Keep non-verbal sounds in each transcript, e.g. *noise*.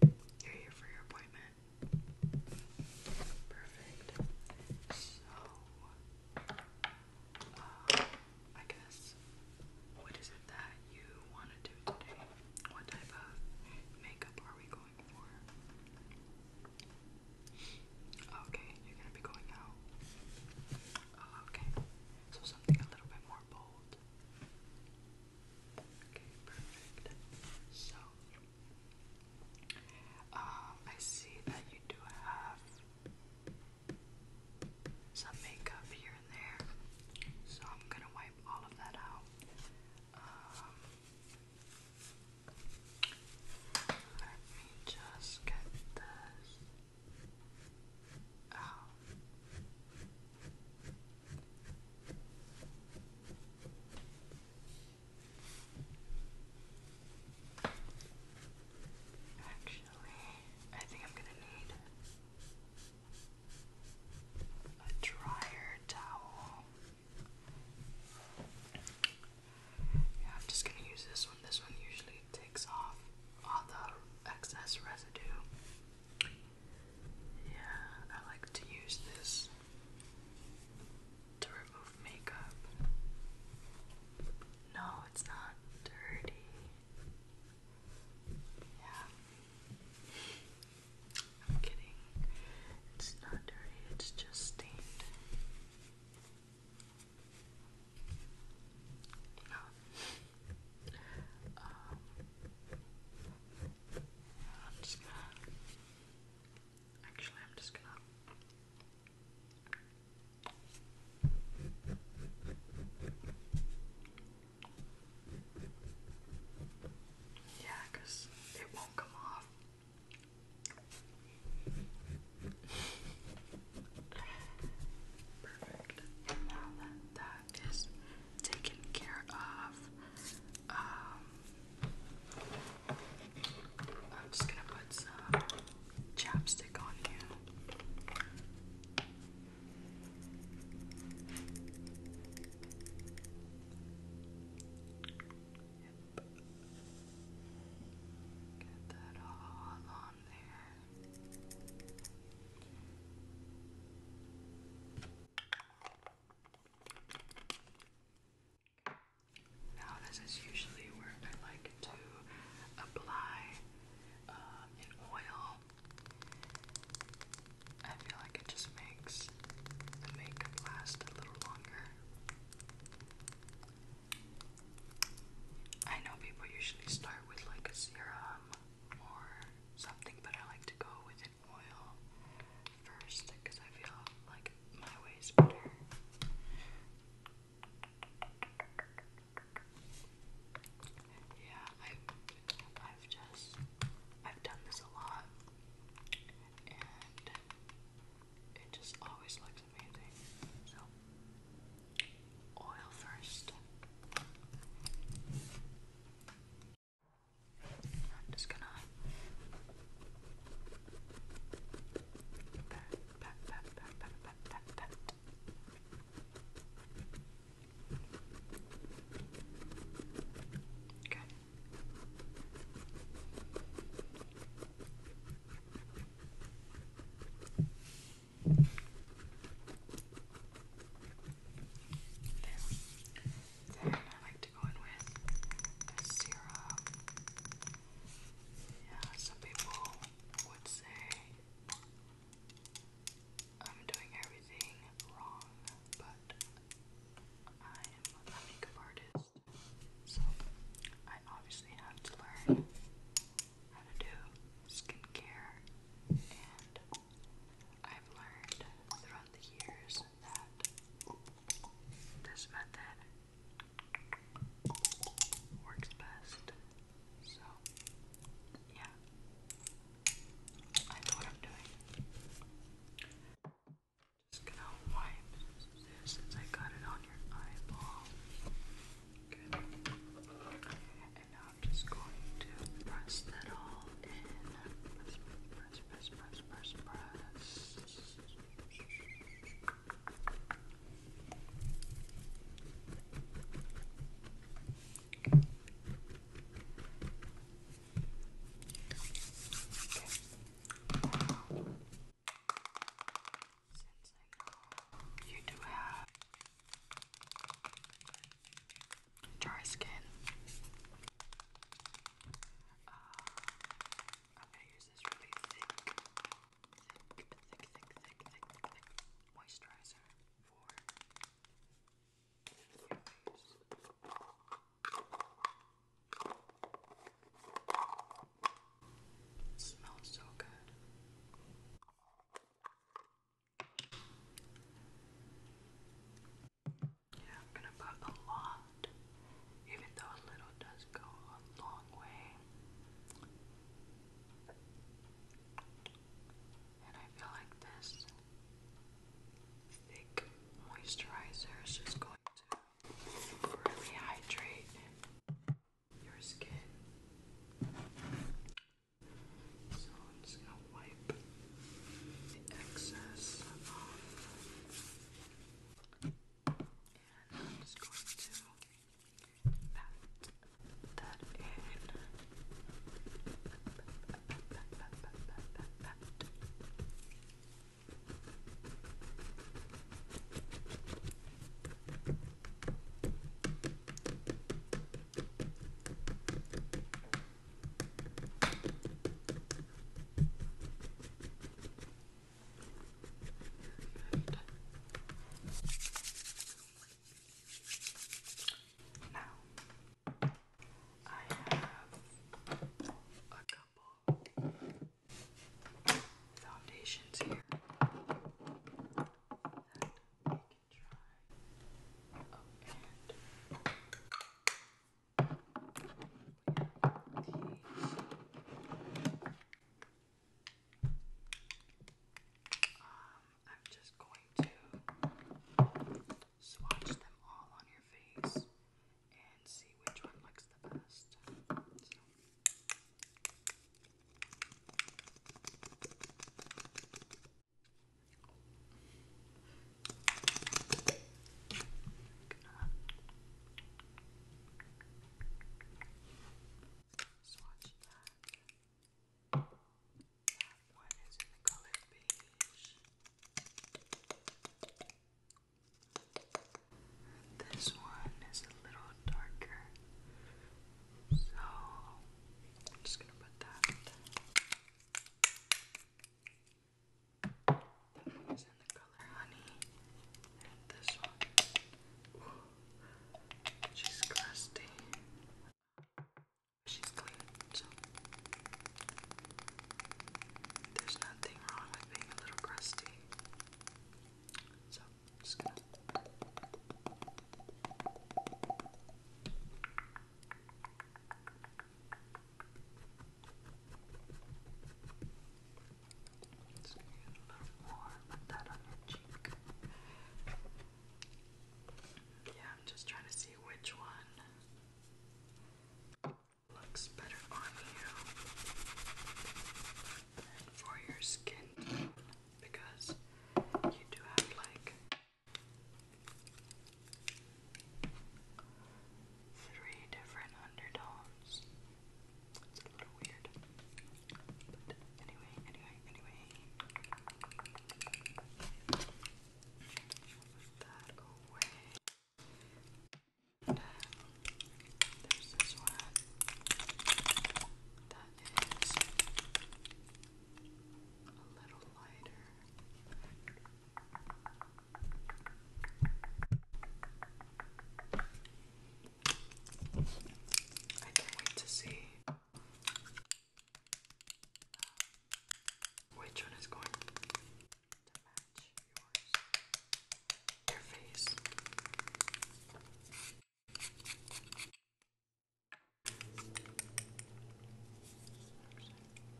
you're here for your appointment. Perfect. So, uh, I guess, what is it that you want to do today? What type of makeup are we going for? Okay, you're gonna be going out. okay, so something a little bit more bold. Okay, perfect. So, um, I see that you do have some makeup here and there, so I'm gonna wipe all of that out. Um, let me just get this out. Actually, I think I'm going to need a dryer towel. Yeah, I'm just going to use this one. This one usually takes off all the excess residue. Yeah, I like to use this to remove makeup. No, it's not dirty. Yeah. I'm kidding. It's not dirty, it's just stained. No. Um, I'm just gonna. Actually, I'm just gonna. Yeah, it won't come off. Perfect. now that that is taken care of. Um, I'm just gonna put some chapstick on you. Get that all on there. Now this is usually where I like to apply an um, oil. I feel like it just makes the makeup last a little longer. I know people usually start with like a serum or something, but I like to go with an oil first because I feel like my way is better. Yeah, i I've just, I've done this a lot and it just always looks amazing. So, oil first. I'm just gonna Okay then I like to go in with a Yeah, some people would say I'm doing everything wrong, but I'm a makeup artist, so I obviously have to learn how to do skincare and I've learned throughout the years that this method works best. So, yeah, I know what I'm doing. Just gonna wipe this since I got it on your eyeball. Good. I'm just going to press that all in. Press, press, press, press, press, press. Okay. Since I know you do have dry skin. Uh, I'm gonna use this really thick, thick, thick, thick, thick, thick, thick, moisturizer for your face. smells so good. Yeah, I'm gonna put a lot, even though a little does go a long way. And I feel like this thick moisturizer is just going to really hydrate your skin. So I'm just wipe the excess off. And I'm just going to pat that in. Now I have a couple foundations here that we can try. Oh, um, I'm just going to swatch them all on your face and see which one looks the best. Swatch that. That one is in the color beige. This one is a little darker. So I'm just gonna put that. That one's in the color honey. And this one. she's crusty. She's clean, so there's nothing wrong with being a little crusty. So just gonna yeah, I'm just trying to see which one looks better on you for your skin because you do have like Three different undertones. It's a little weird. anyway, anyway, anyway. that away. And, uh, there's one. That is a little lighter. I can't wait to see which one is going to match your face.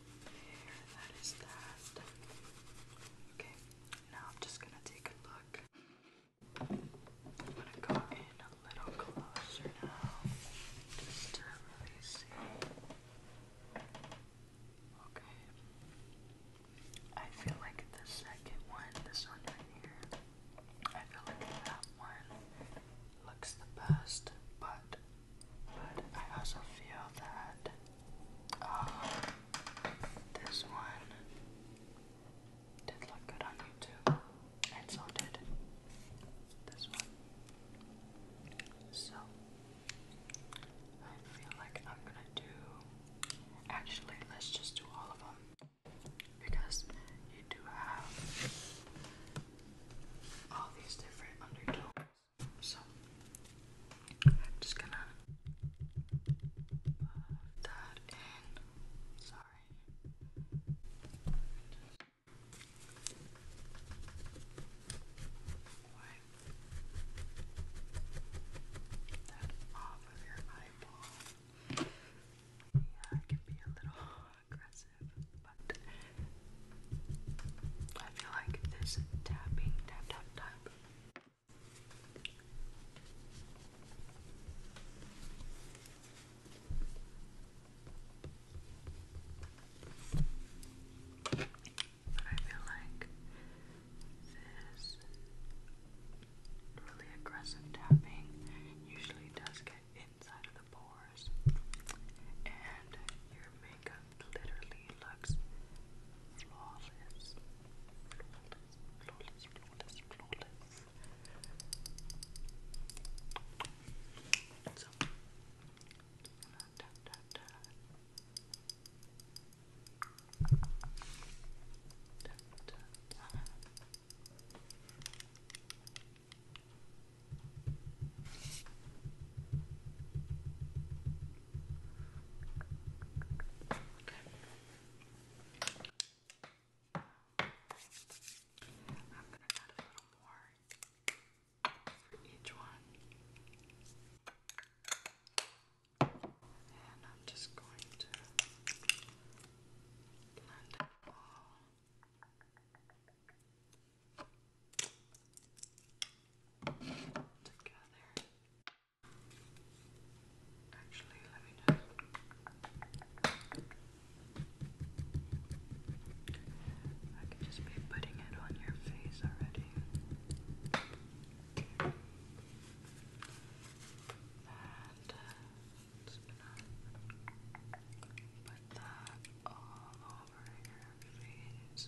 There, that is that. Okay, now I'm just gonna take a look. I'm gonna go in a little closer now, just to really see. Okay. I feel like the second one, this one right here, I feel like that one looks the best, but but I also feel that Ah, this one did look good on YouTube, and so did this one. So, I feel like I'm gonna do. Actually, let's just do all of them because you do have all these different undertones. So I'm just gonna put that in. Sorry. Wipe that off of your eyeball. Yeah, can be a little aggressive, but I feel like this tapping, tap, tap, tap but I feel like this really aggressive tapping usually does get inside of the pores, and your makeup literally looks flawless. Flawless, flawless, flawless, flawless. So, da, da, da. Da, da, da. Okay. Okay. I'm going to add a little more for each one. And I'm just going to blend it all. Together. Actually, let me just. I could just be putting it on your face already. And uh, put that all over your face.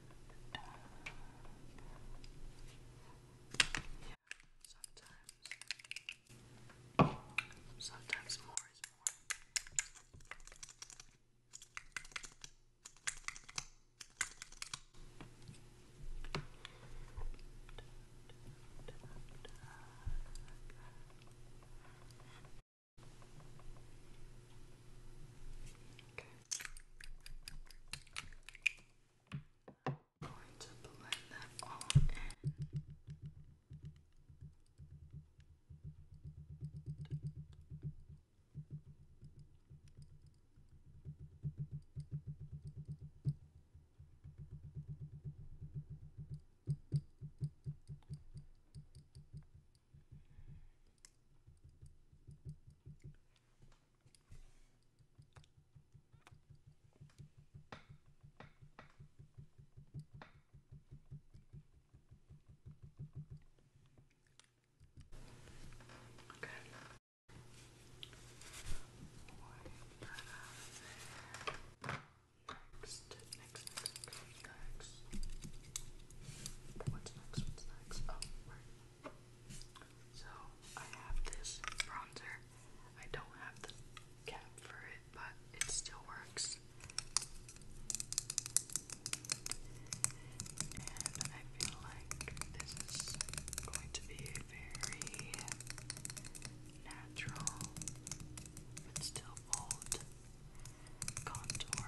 Yeah, sometimes. Sometimes more is more. Okay. I'm going to blend that all in. Okay. Wipe Next, next, next, What's next? What's next? Oh, so I have this bronzer. I don't have the cap for it, but it still works. And I feel like this is going to be very natural but still bold contour.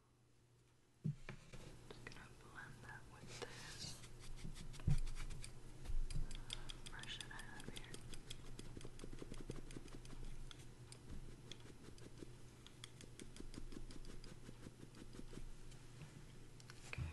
Just gonna blend that with this. Brush it out here. Okay.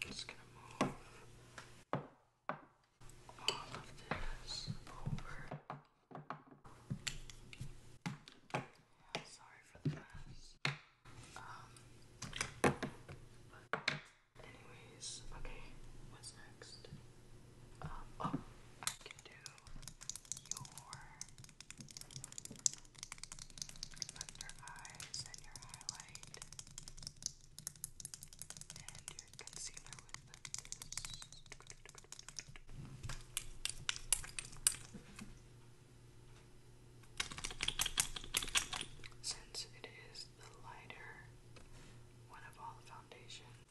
Just gonna move all of this over. Yeah, sorry for the mess. Um, but anyways, okay, what's next? Um, I can do your under eyes and your highlight and your Since it is the lighter one of all foundations,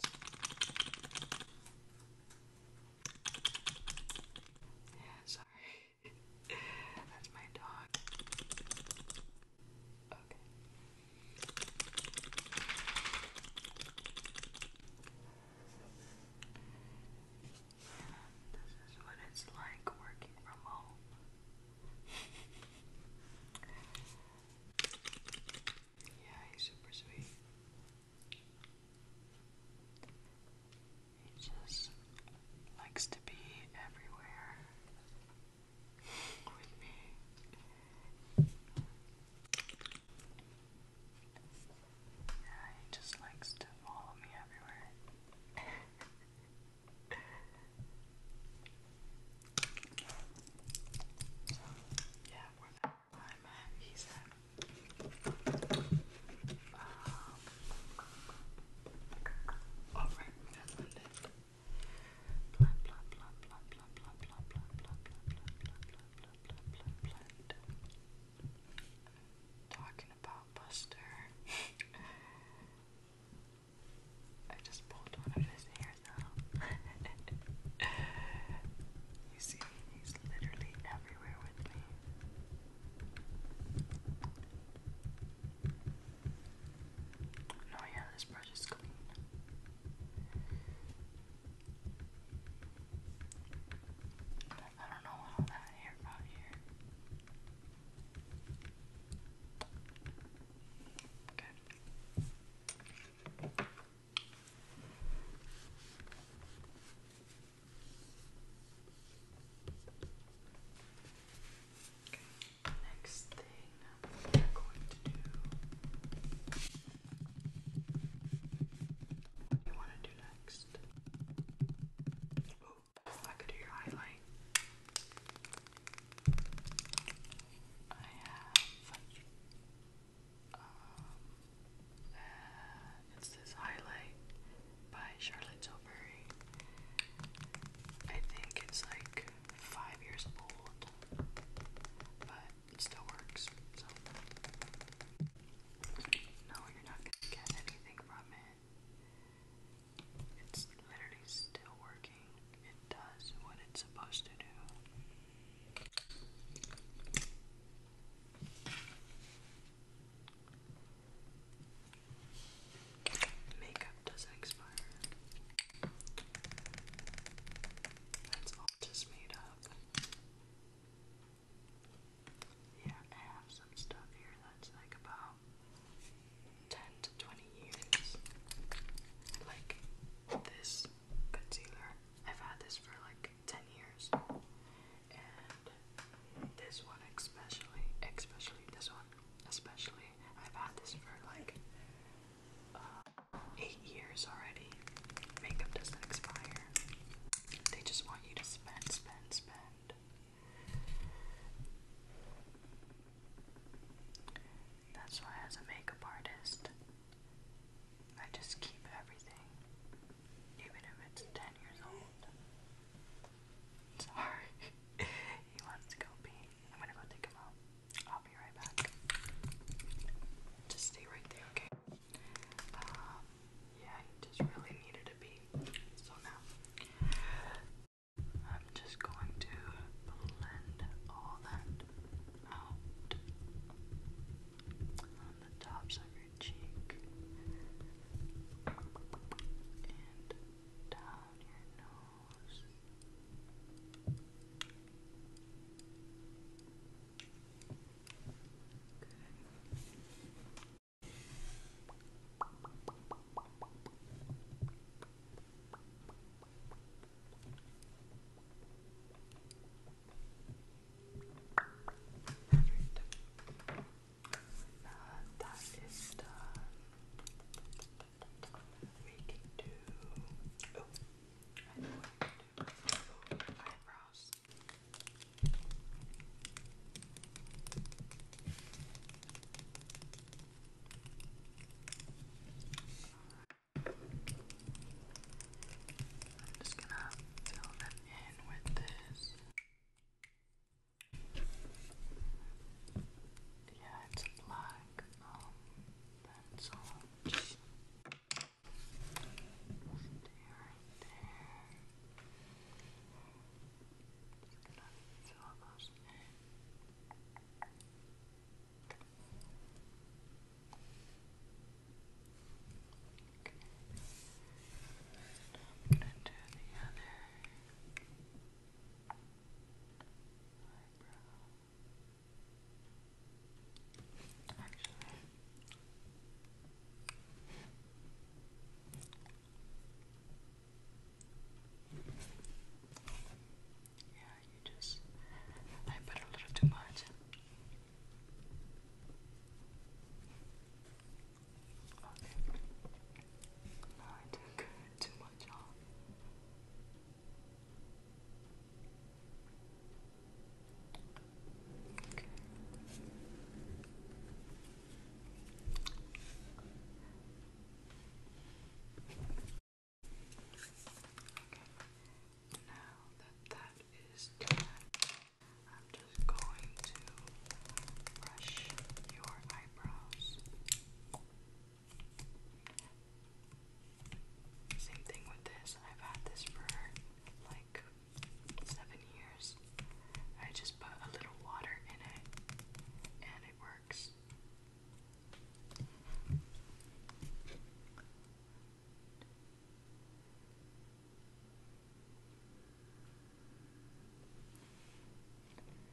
yeah, sorry, *laughs* that's my dog this is what it's like working from home. yeah, he's super sweet. He just likes to be everywhere with me. Yeah, he just likes to follow me everywhere. yeah, wherever I'm at, he's Alright, that's it. Talking about Buster. I just pulled one of his hairs out. you see, he's literally everywhere with me. No, yeah, this brush is clean. I don't know how that hair got here. Okay next thing we're going to do. What you want to do next? Oh, I could do your highlight. I have. Um, uh, it's this highlight by Charlotte Tilbury. I think it's like five years old, but it still works. no, you're not gonna get anything from it. It's literally still working. It does what it's supposed to do. Makeup doesn't expire. That's all just made up. Yeah, I have some stuff here that's like about 10 to 20 years. Like this concealer. I've had this for like 10 years. And this one especially, especially this one, especially I've had this for like uh, eight years already. Makeup doesn't expire. They just want you to spend, spend, spend. That's why, as a makeup artist, I just keep everything, even if it's 10 years old. *laughs* Sorry, *laughs* he wants to go pee. I'm gonna go take him out. I'll be right back. Just stay right there, okay? Um, yeah, he just really needed to be. So now, I'm just going to blend all that out on the tops of your cheek and down your nose. Perfect. Now that is done. We can oh, I am oh, just gonna fill them in with this. Yeah, it's black, um, that's orange. Stay right there. Just going I'm gonna do the other eyebrow. yeah, you just, I put a little too much. Okay. No, I took too much off. Okay. Now that that is done, I'm just going to brush your eyebrows. Same thing with this. I've had this for like seven years. I just put a little water in it and it works.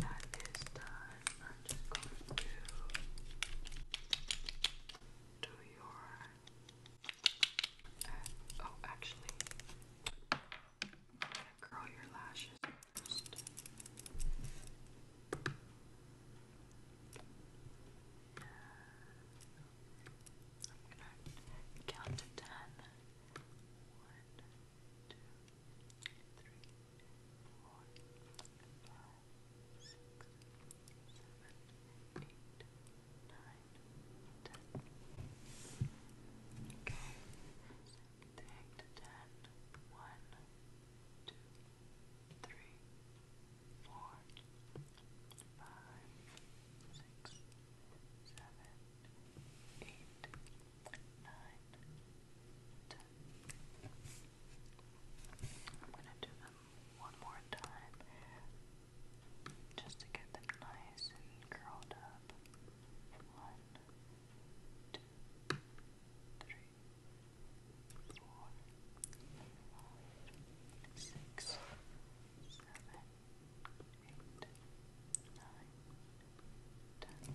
Now that that is done, I'm just going to do your. Uh, oh, actually, curl your lashes first. I'm gonna count to ten. One, two, three, four, five, six, seven, eight, nine, ten. Okay. So, take to ten. One, two, three, three, four, five, six, seven, eight, nine, ten. I'm gonna do them one more time just to get them nice and curled up. One, two, three four, five, six, seven, eight, nine, ten.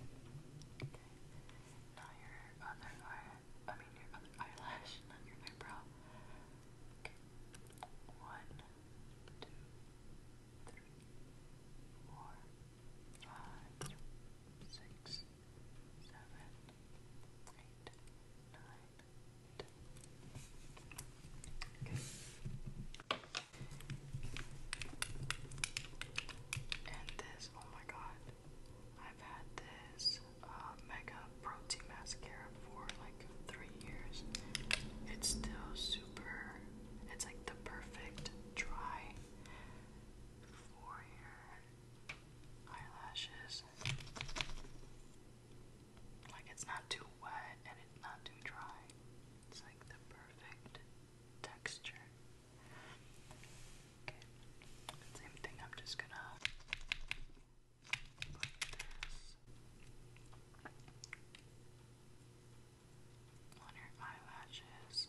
Okay. your other eye, I mean your other eyelash, not your eyebrow. One, two, five, six, seven, eight, nine, ten. And this, oh my god, I've had this um, Mega Protein Mascara for like three years. It's still super, it's like the perfect dry four year eyelashes. Like it's not too wet and it's not too dry. It's like the perfect texture. Same thing, I'm just gonna put this on eyelashes.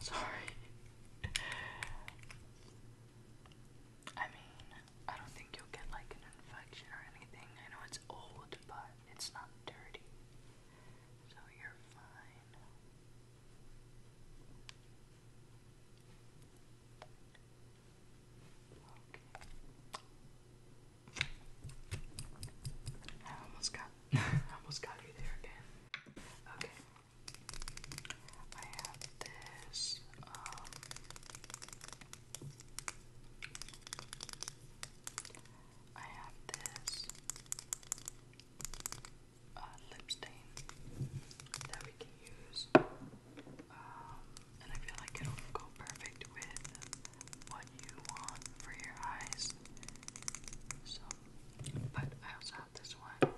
Sorry. I mean, I don't think you'll get like an infection or anything. I know it's old, but it's not dirty. So you're fine. I almost got *laughs* I almost got you there again. Okay, I have this, um, I have this, uh, lip stain that we can use, um, and I feel like it'll go perfect with what you want for your eyes, so, but I also this one.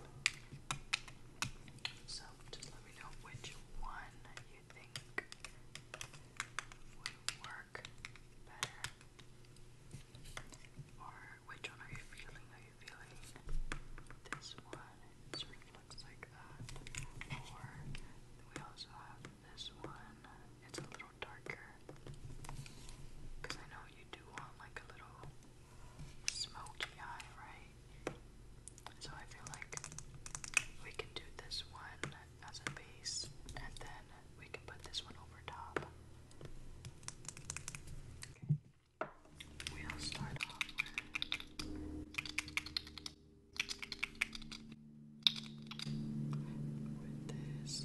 So just let me know which one you think would work better. Or which one are you feeling? Are you feeling this one? It sort looks like that. Or we also have this one. It's a little darker. Because I know you you do want like a little smoky eye, right? So I feel like we can do this one as a base and then we can put this one over top. We'll start off with, this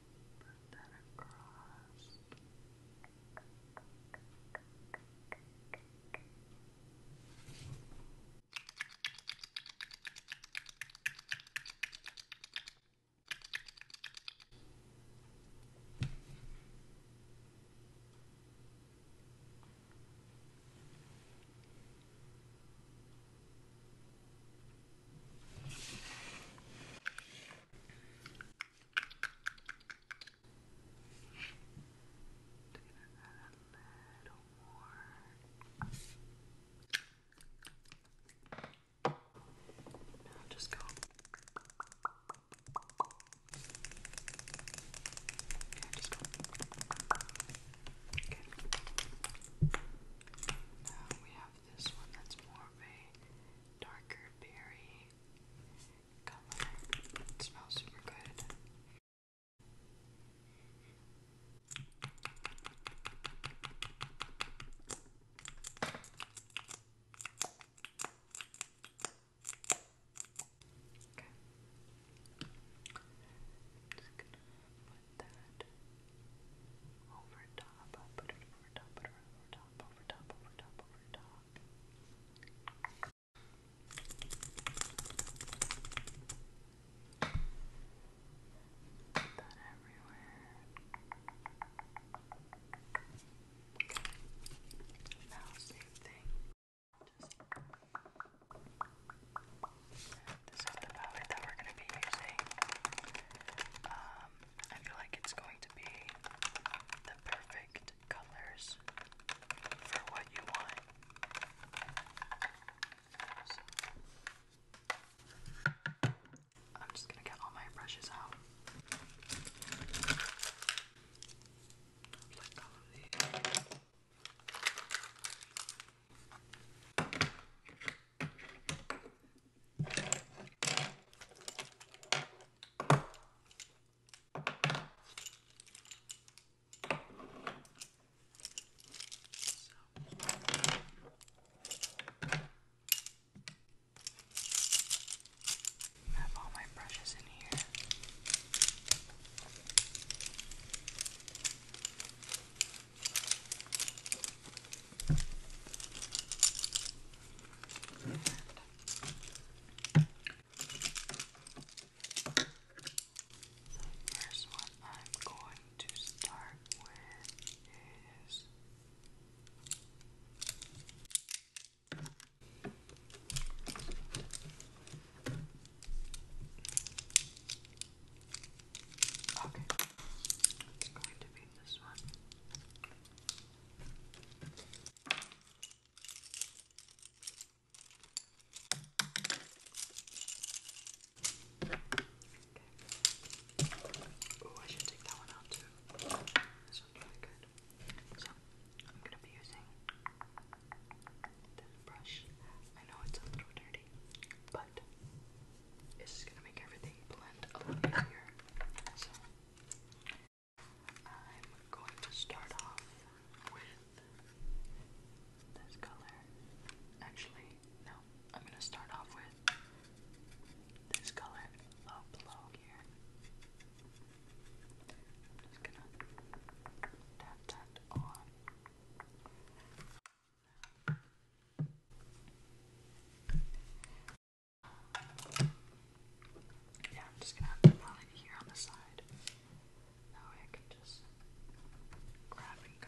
put that across that a little more. Now just go. Okay, just go. Okay. Now we have this one that's more of a darker berry color. It smells super good. just gonna put that over top top, put over top, over top, over top, over top, over top. Put that everywhere. Now same thing. this is the palette that we're going to be using. Um, um, I feel like it's going to be the perfect colors for what you want. I'm just gonna get all my brushes out. I have all my brushes in here. The first one I'm going to start with is Okay, it's going to be this one. Okay. Oh, I should take that one out too. This one's really good. So, I'm gonna be using this brush. I know it's a little dirty, but it's just gonna make everything blend a lot easier. So, I'm going to start off with this color. Actually, no, I'm going to start off with this color low below here. just going to tap that on. Yeah, I'm just gonna put it here on the side. That I can just grab and go.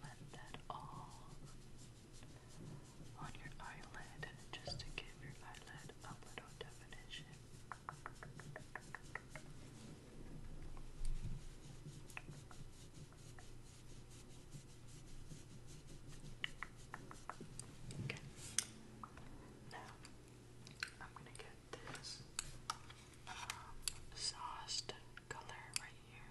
blend that all on your eyelid just to give your eyelid a little definition. Okay. Now I'm gonna get this um, sauced color right here.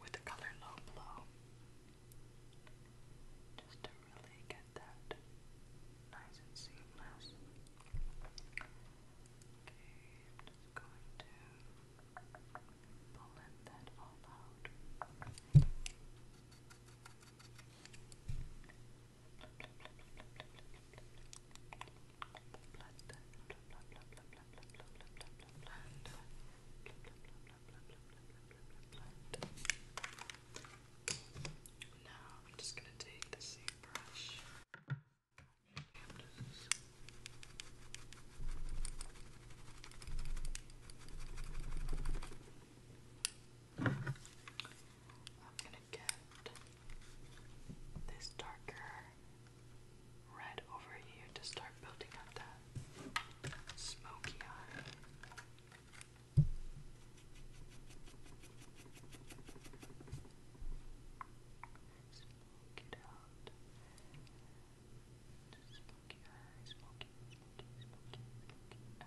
with the color Low Blow. Just to really get that nice and seamless. Okay, just going to blend that all out. Now I'm just gonna take the same brush. I'm gonna get this darker red over here to start building up that smoky eye. Smoke it out. Smoky eye, smoky, smoky, smoky, smoky eye.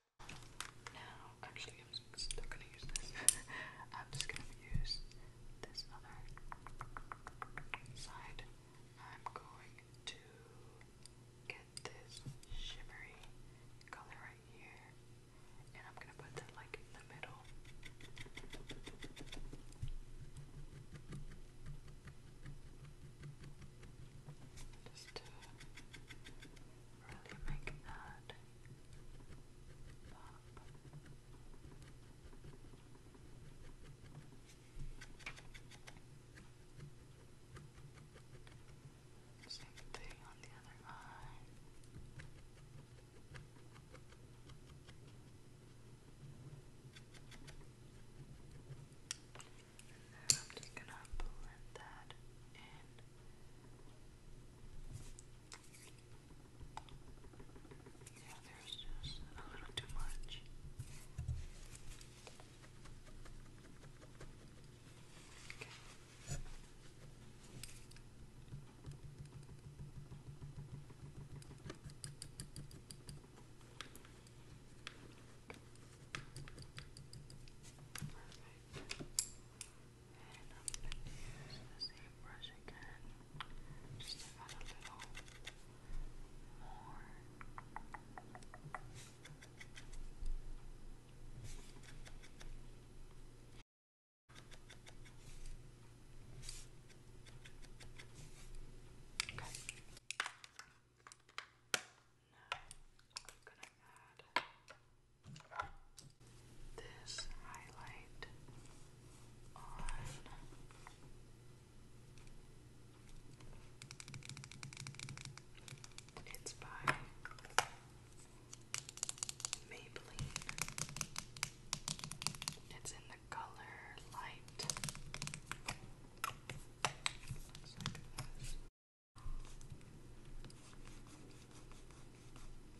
Now, actually, I'm still gonna use this. *laughs* I'm just gonna use this other side. I'm going to get this shimmery color right here, and I'm gonna put that like in the middle. Just to really make that pop. Same thing on the other eye. And I'm just gonna blend that in. Yeah, there's just a little too much. Okay. Perfect. And I'm going to use the same brush again, just to add a little more. Okay. I'm gonna add this highlight on. It's by Maybelline. It's in the color light.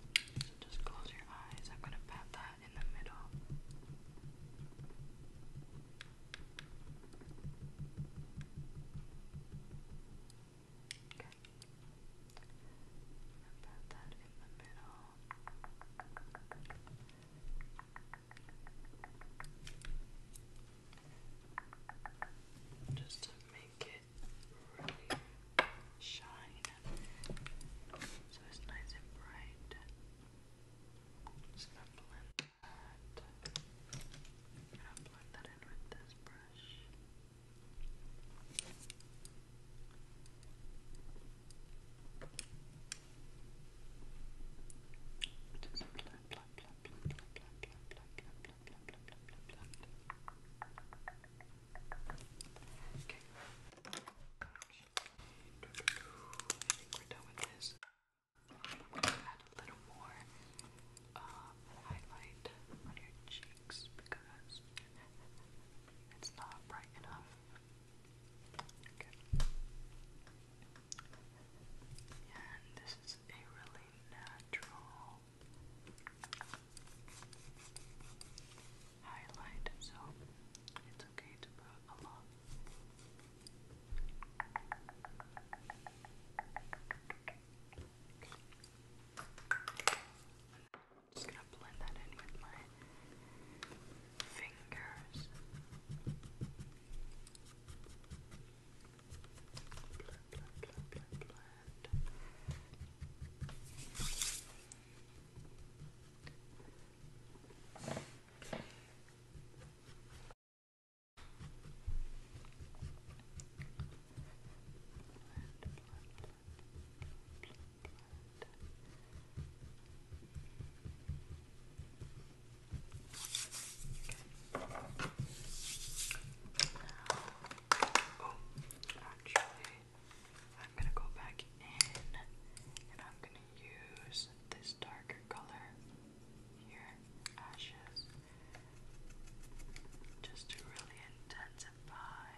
So just close your eyes. I'm going to pat that in the middle. Just to make it really shine. So it's nice and bright. just gonna blend that. gonna blend that in with this brush. Just black, black, black, black, black, black, black, black, black, Okay. I we're done with this. I'm gonna add a little more highlight on your cheeks because it's not bright enough. Okay. And this is a really natural highlight, so it's okay to put a lot. just gonna blend that in with my fingers blend, blend, blend, blend. Okay. Now Oh, actually, I'm gonna go back in and I'm gonna use this darker color here, ashes, just to really intensify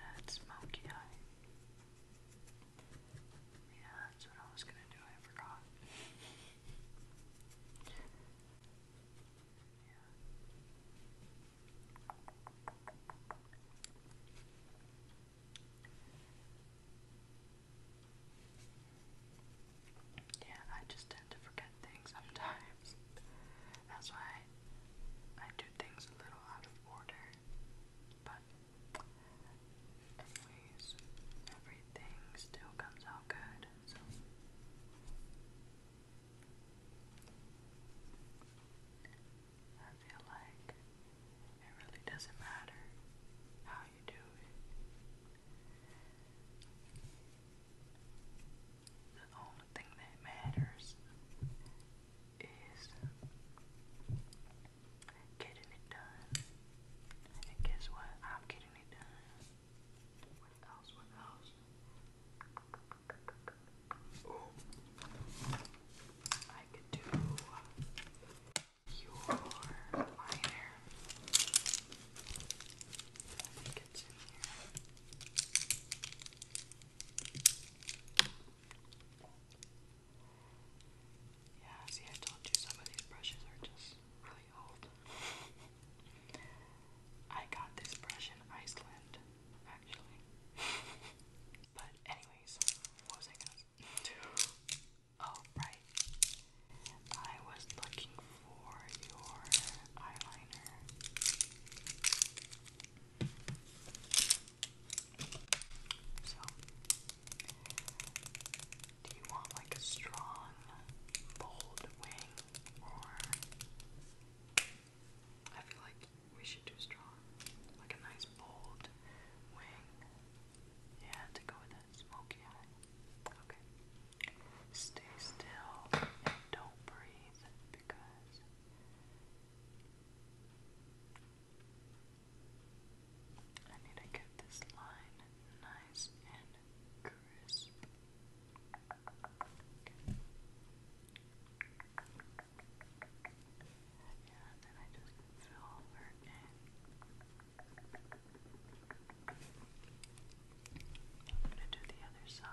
that smoky eye. Yeah, that's what I was gonna do, I forgot. Yeah, I just tend to forget things sometimes. That's why I do things a little out of order. But, anyways, everything still comes out good. So. I feel like it really doesn't matter how you do it. The only thing that matters is getting it done. And guess what? I'm getting it done. What else? What else? Oh, I could do your liner. I Yeah, see, I told you some of these brushes are just really old. *laughs* I got this brush in Iceland, actually. *laughs* but anyways, what was I gonna do? Oh right. I was looking for your eyeliner. So do you want like a strong, bold wing, or I feel like we should do strong, like a nice bold wing. Yeah, to go with that smoky eye. Okay. Stay still and don't breathe because. I need to get this line nice and crisp. Yeah, then I just fill over in. I'm going to do the other side.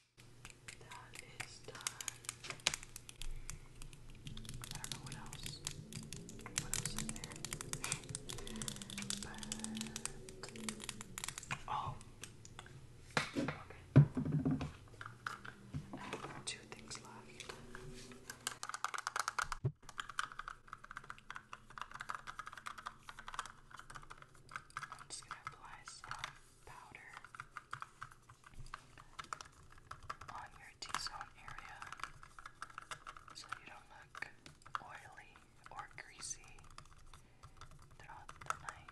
That is done. I don't know what else. What else is there? oh. Okay. two things left. I'm just gonna apply some powder on your T-zone area so you don't look oily or greasy throughout the night.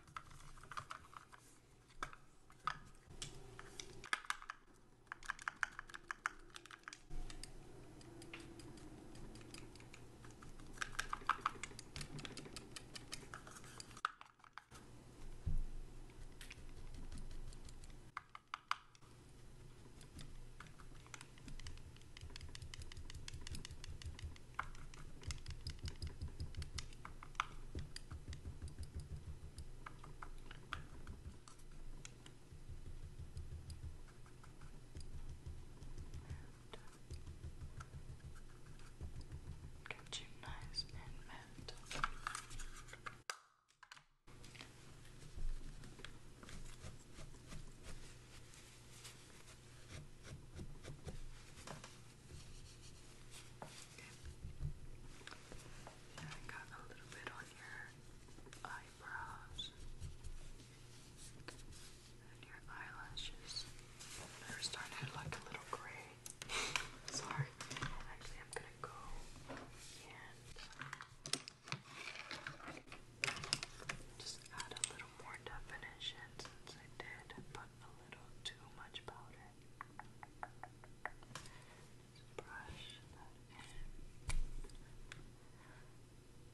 Get you nice and end. Okay. I got a little bit on your eyebrows and your eyelashes. They're starting to look a little gray. *laughs* Sorry. Actually, I'm gonna go and just add a little more definition since I did put a little too much powder. Just brush that in.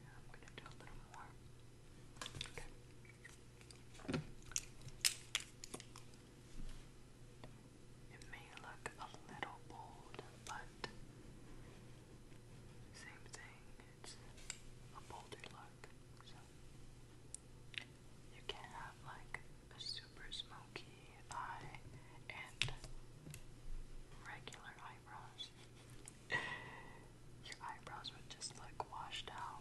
I'm gonna do a little more. Okay. It may look a little bold, but same thing, it's a bolder look. So you can have like a super smoky eye and regular eyebrows. *laughs* Your eyebrows would just look washed out.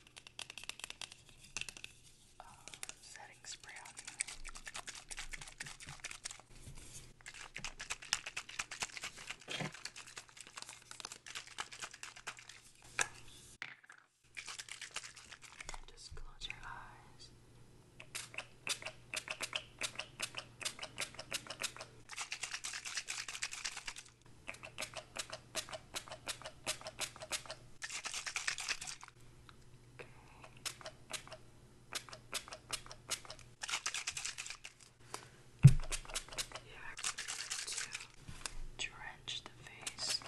uh, setting spray on Just close your eyes. You actually have to drench the face.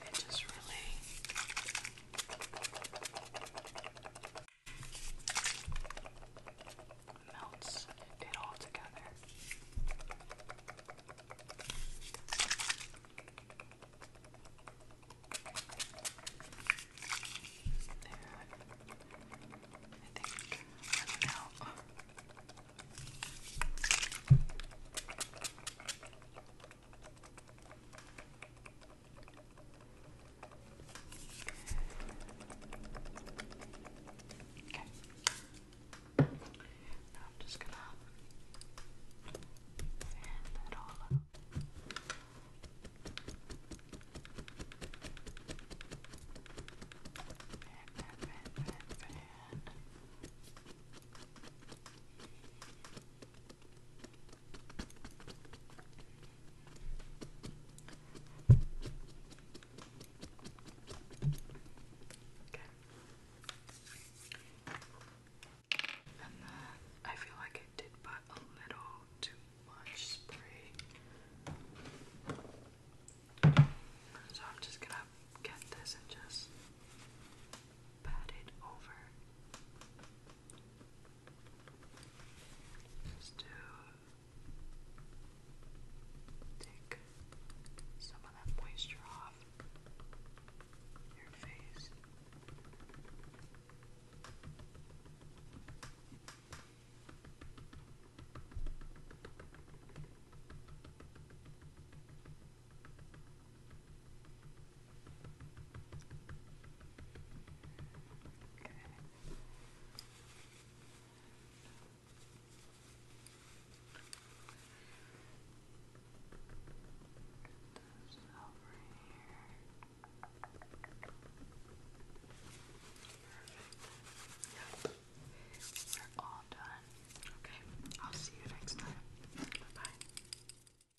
It just really Melts it all together. There. I think running out. Okay. Now I'm just gonna fan that all up. Fan, fan, fan, fan, fan. Okay. And then uh, I feel like I did put a little too much spray. So I'm just gonna get this and just pat it over. Just to take some of that moisture off your face. Okay. Get this over here. Perfect. Yep. We're all done. Okay. I'll see you next time. Bye bye.